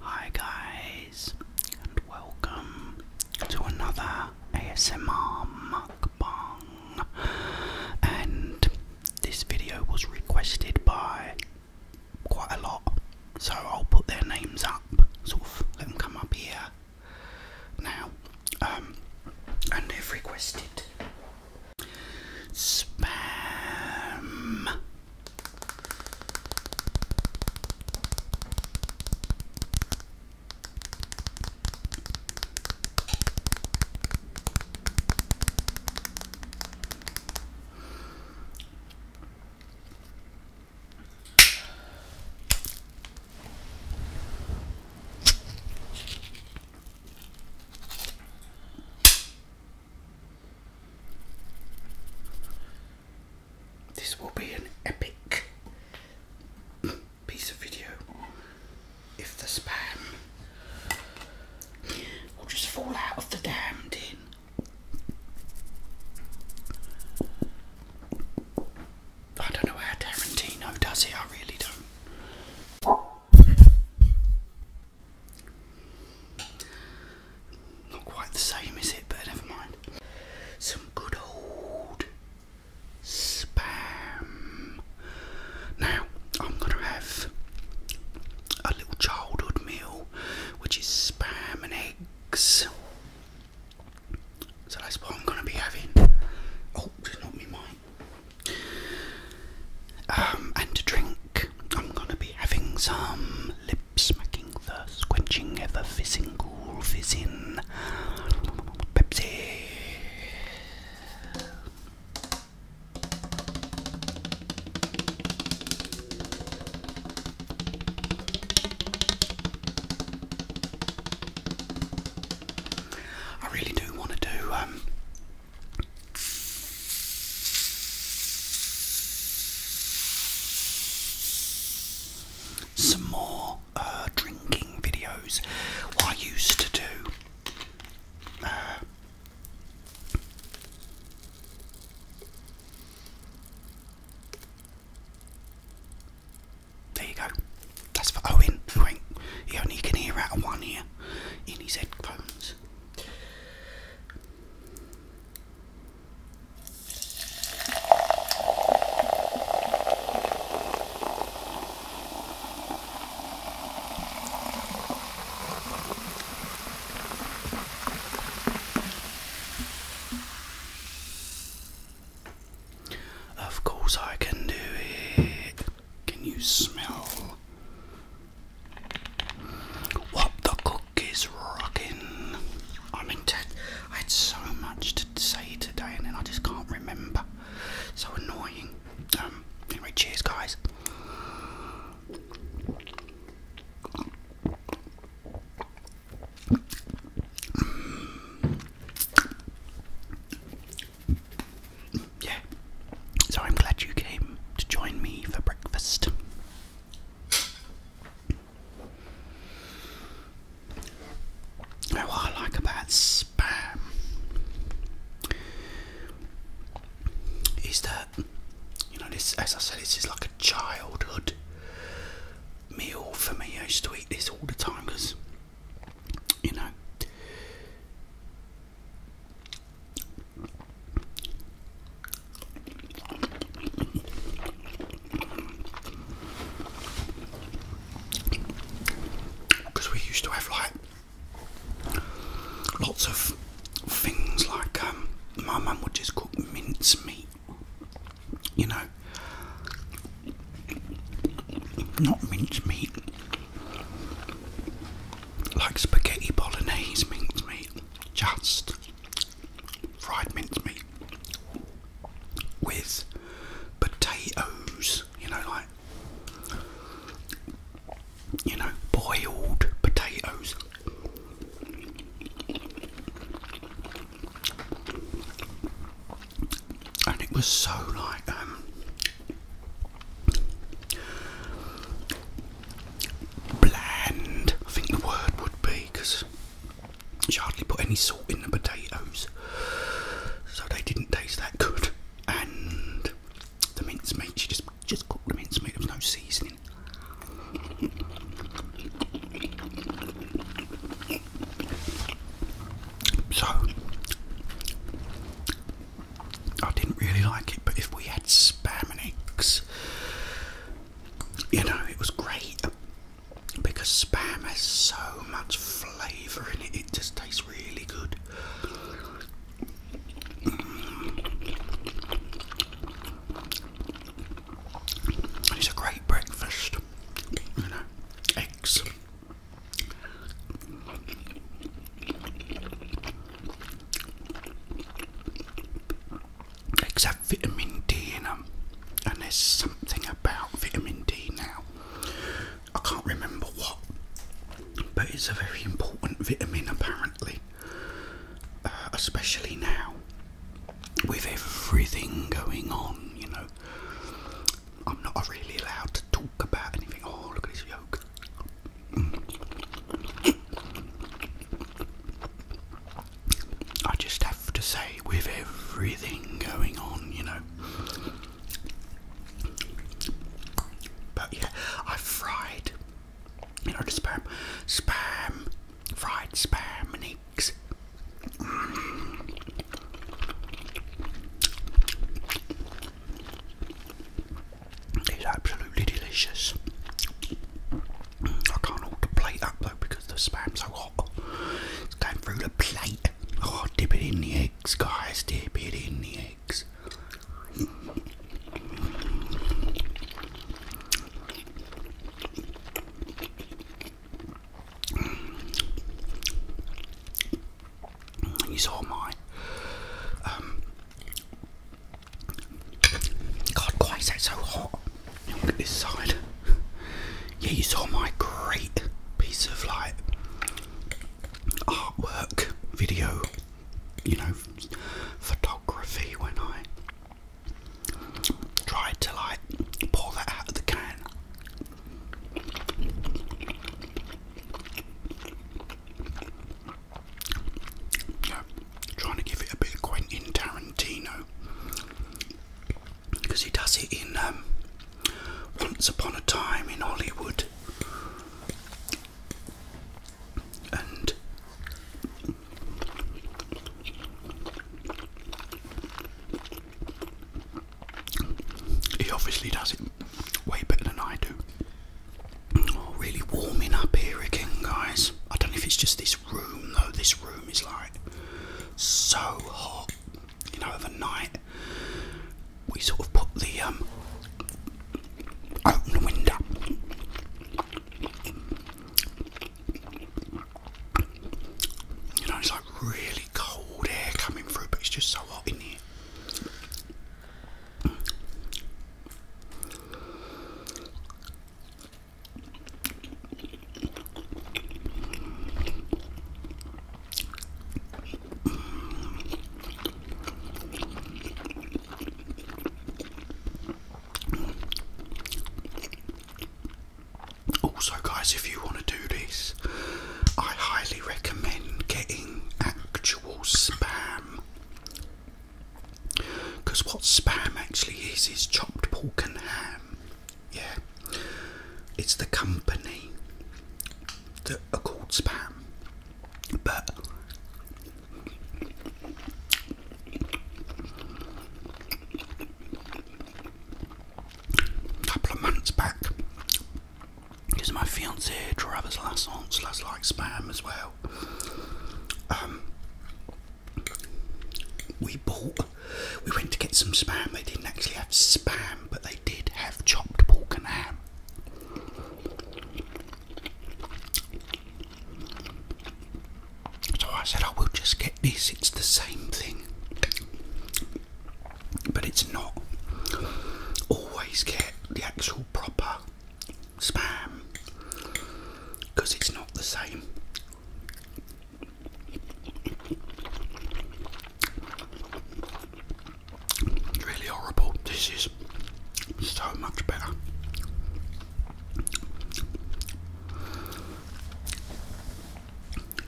Hi, guys, and welcome to another ASMR mukbang. And this video was requested by quite a lot, so I'll put their names up, sort of let them come up here now. Um, and they've requested spam. This will be an epic piece of video if the spam I'll just fall out of the damn tin. I don't know how Tarantino does it, I really don't. Not quite the same, is it? But never mind. Some good old spam. Now, I'm gonna have a little childhood meal which is spam and eggs. So that's what I'm gonna be having. Oh, just not me mic. Um, and to drink, I'm gonna be having some lip smacking, thirst quenching, ever fizzing, cool fizzing Pepsi. I really do want to do um, some more uh, drinking videos. I used to do uh, there you go. That's for Owen. Owen. He only can hear out of one ear in his headphones. Of course, I can do it. Can you smell what the cook is rocking? I mean, I had so much to say today, and then I just can't remember. So annoying. Um, cheers, guys. Yeah, so I'm glad you came to join me for breakfast. Now, what I like about spam is that you know this as I said this is like a childhood meal for me. I used to eat this all the time because you know because we used to have like Lots of things like um, my mum would just cook mince meat, you know, not mince meat, like spaghetti bolognese mince meat, just fried mince meat with potatoes, you know, like you know, boiled potatoes. And it was so like, um, bland, I think the word would be, because she hardly put any salt in the potatoes, so they didn't taste that good and the mince meat. She just just cooked the mince meat. There's no seasoning. So I didn't really like it, but if we had spam and eggs, you know, it was great because spam has so much flavour in it, it just tastes really good. It's a great breakfast, you know, eggs. Eggs have vitamin D in them, and there's something about vitamin D now I can't remember what, but it's a very important vitamin apparently, uh, especially now with everything going on. You know, I'm not really allowed to talk about anything. Oh, look at this yolk. I just have to say, with everything going on, you know, but yeah, I fried, you know, spam, spam, fried spam and eggs. It's absolutely delicious. I can't hold the plate up though because the spam's so hot. It's going through the plate. Oh, dip it in the eggs, guys. Dip it in the eggs. You saw my um, God, why is that so hot? Look at this side yeah, you saw my great piece of like artwork video, you know, photography when I tried to like pour that out of the can. Yeah, trying to give it a bit of Quentin Tarantino because he does it in um, Once Upon a Time in Hollywood. And he obviously does it way better than I do. Oh, really warming up here again, guys. I don't know if it's just this room, though. This room is like so hot you know, overnight, we sort of put the um, open the window. You know, it's like really cold air coming through, but it's just so hot in here. Also, guys, if you want to do this, I highly recommend getting actual spam. Because what spam actually is, is chopped pork and ham. Yeah, it's the company that are called spam, but a couple of months back, because my fiancée Travis Lassance loves like spam as well. Um, we bought we went to get some spam. They didn't actually have spam, but they did have chopped pork and ham. So I said, I will just get this, it's the same thing. But it's not. Always get the actual proper spam because it's not the same really horrible. This is so much better.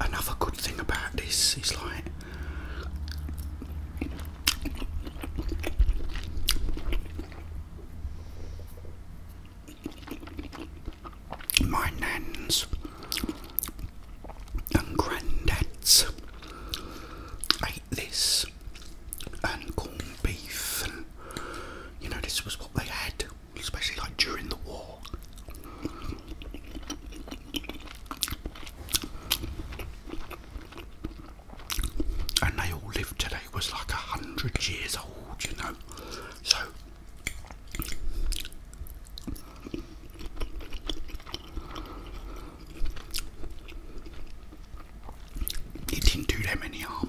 Another good thing about this is like my nans and granddads ate this and corned beef you know this was what they had especially like during the war and they all lived today was like a hundred years old you know so it didn't do them any harm.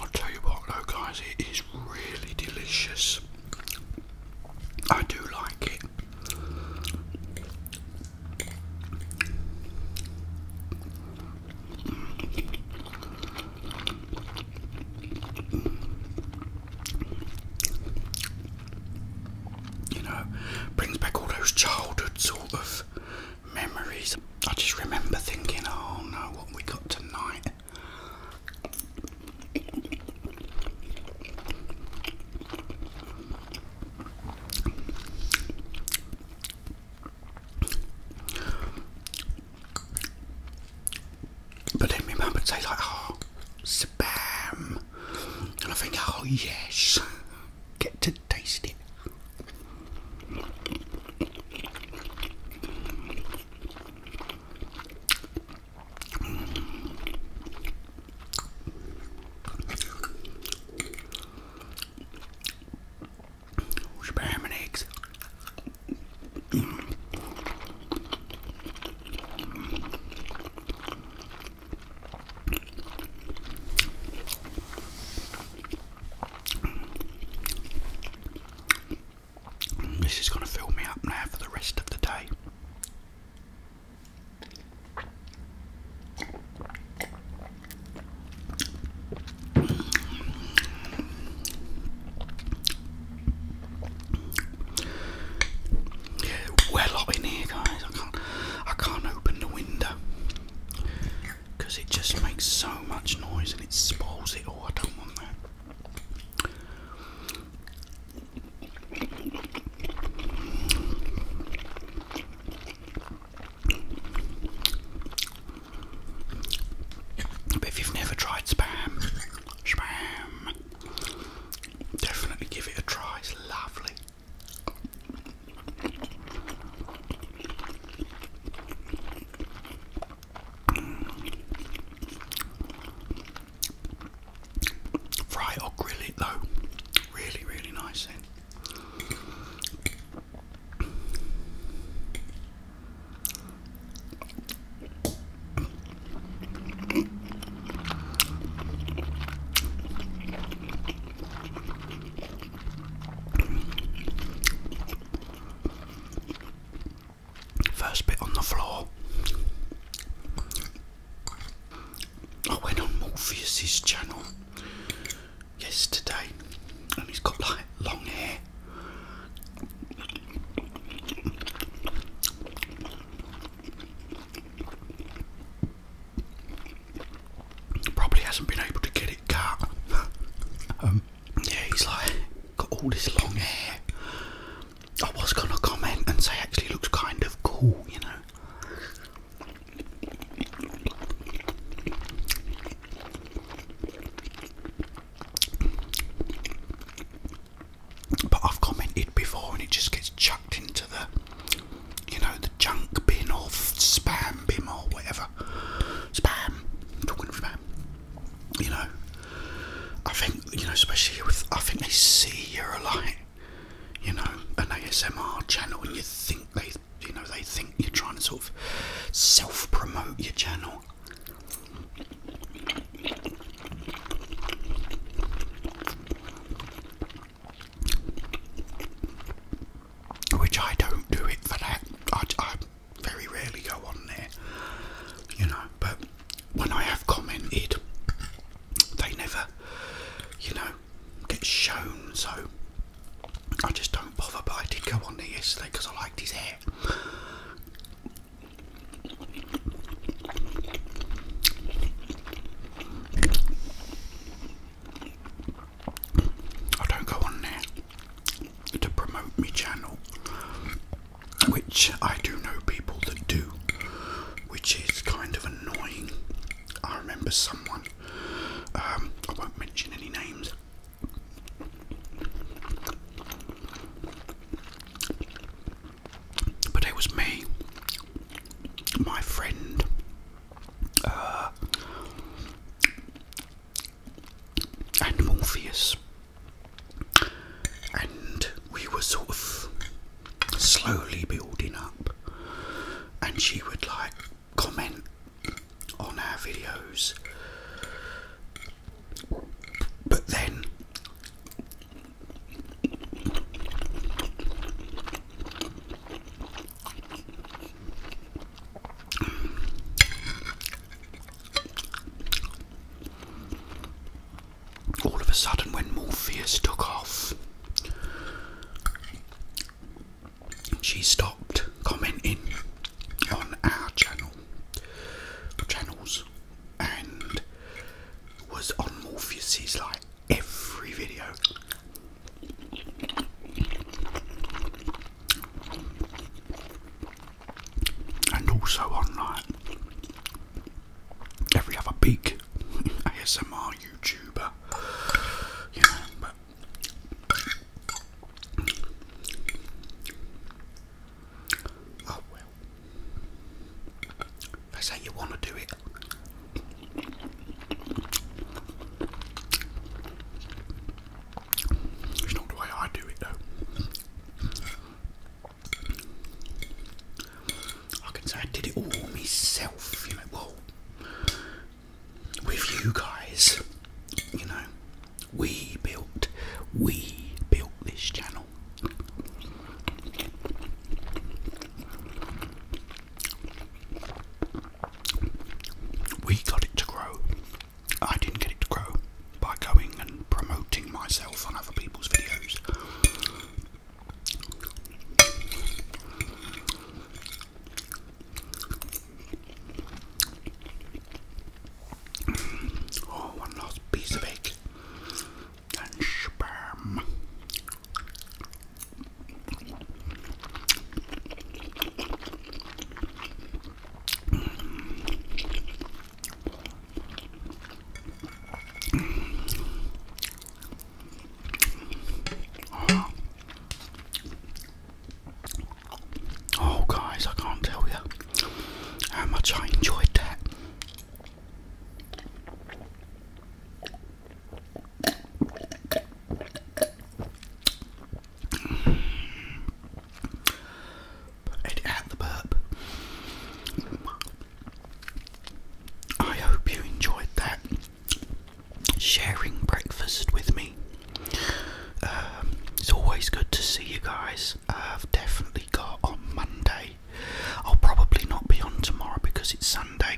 I'll tell you what though guys, it is really delicious. I do like it. You know, brings back all those childhood sort of memories. I just remember thinking, oh no, what we got tonight. But then remember to say like, oh, spam. And I think, oh yes, get to to taste it. Spam eggs. This is going to fill me up now for the rest of the day. Yeah, well up in here guys, I can't I can't open the window because it just makes so much noise and it spoils it all. I don't want that. But if you've never tried spam, spam, definitely give it a try. It's lovely. Fry or grill it though, really, really nice then. First bit on the floor. I went on Morpheus's channel yesterday and he's got like long hair probably hasn't been able to get it cut. Um, yeah, he's like got all this long hair. I was gonna comment and say actually looks kind of cool, you know. But I've commented before and it just gets chucked into the you know, the junk bin or spam bin or whatever. Spam. talking of You know, I think, you know, especially with, I think they see you're a light, you know, an ASMR channel and you think they, you know, they think you're trying to sort of self promote your channel. Which I don't do it for that. I, very rarely go on there, you know. But when I have commented, they never, you know, get shown. So I just don't bother. But I did go on there yesterday because I liked his hair. I don't go on there to promote my channel, which I do know people that do, which is kind of annoying. I remember someone, um, I won't mention any names. But it was me, my friend, uh, and Morpheus, and we were sort of slowly building up, and she would like comment on our videos, but then all of a sudden, when Morpheus took off, she stopped commenting on our channel channels and was on Morpheus's like every video. And also on like every other big ASMR YouTuber, you know, but oh, I how you want to do it. It's not the way I do it though. I can say I did it all myself, you know, with you guys, you know, we built, we built this channel. We got it to grow. I didn't get it to grow by going and promoting myself on other people's videos. Oh, one last piece of egg and sperm. oh, guys, I can't tell you how much I enjoyed that. Edit out the burp. I hope you enjoyed that sharing breakfast with me. Um, it's always good to see you guys. I've definitely got on Monday I'll probably not be on tomorrow because it's Sunday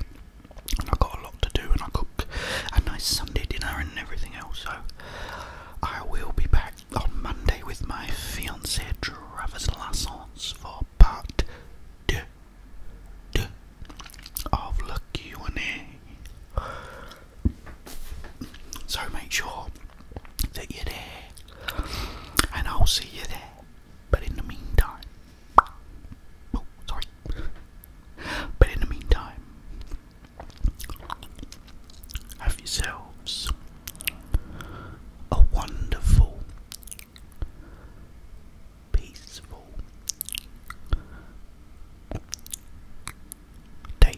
and I've got a lot to do and I cook a nice Sunday dinner and everything else. So I will be back on Monday with my fiance Travis Lassance for part two, two of the Q&A. So make sure that you're there and I'll see you there. But in the meantime, oh, sorry. But in the meantime, have yourselves a wonderful, peaceful day.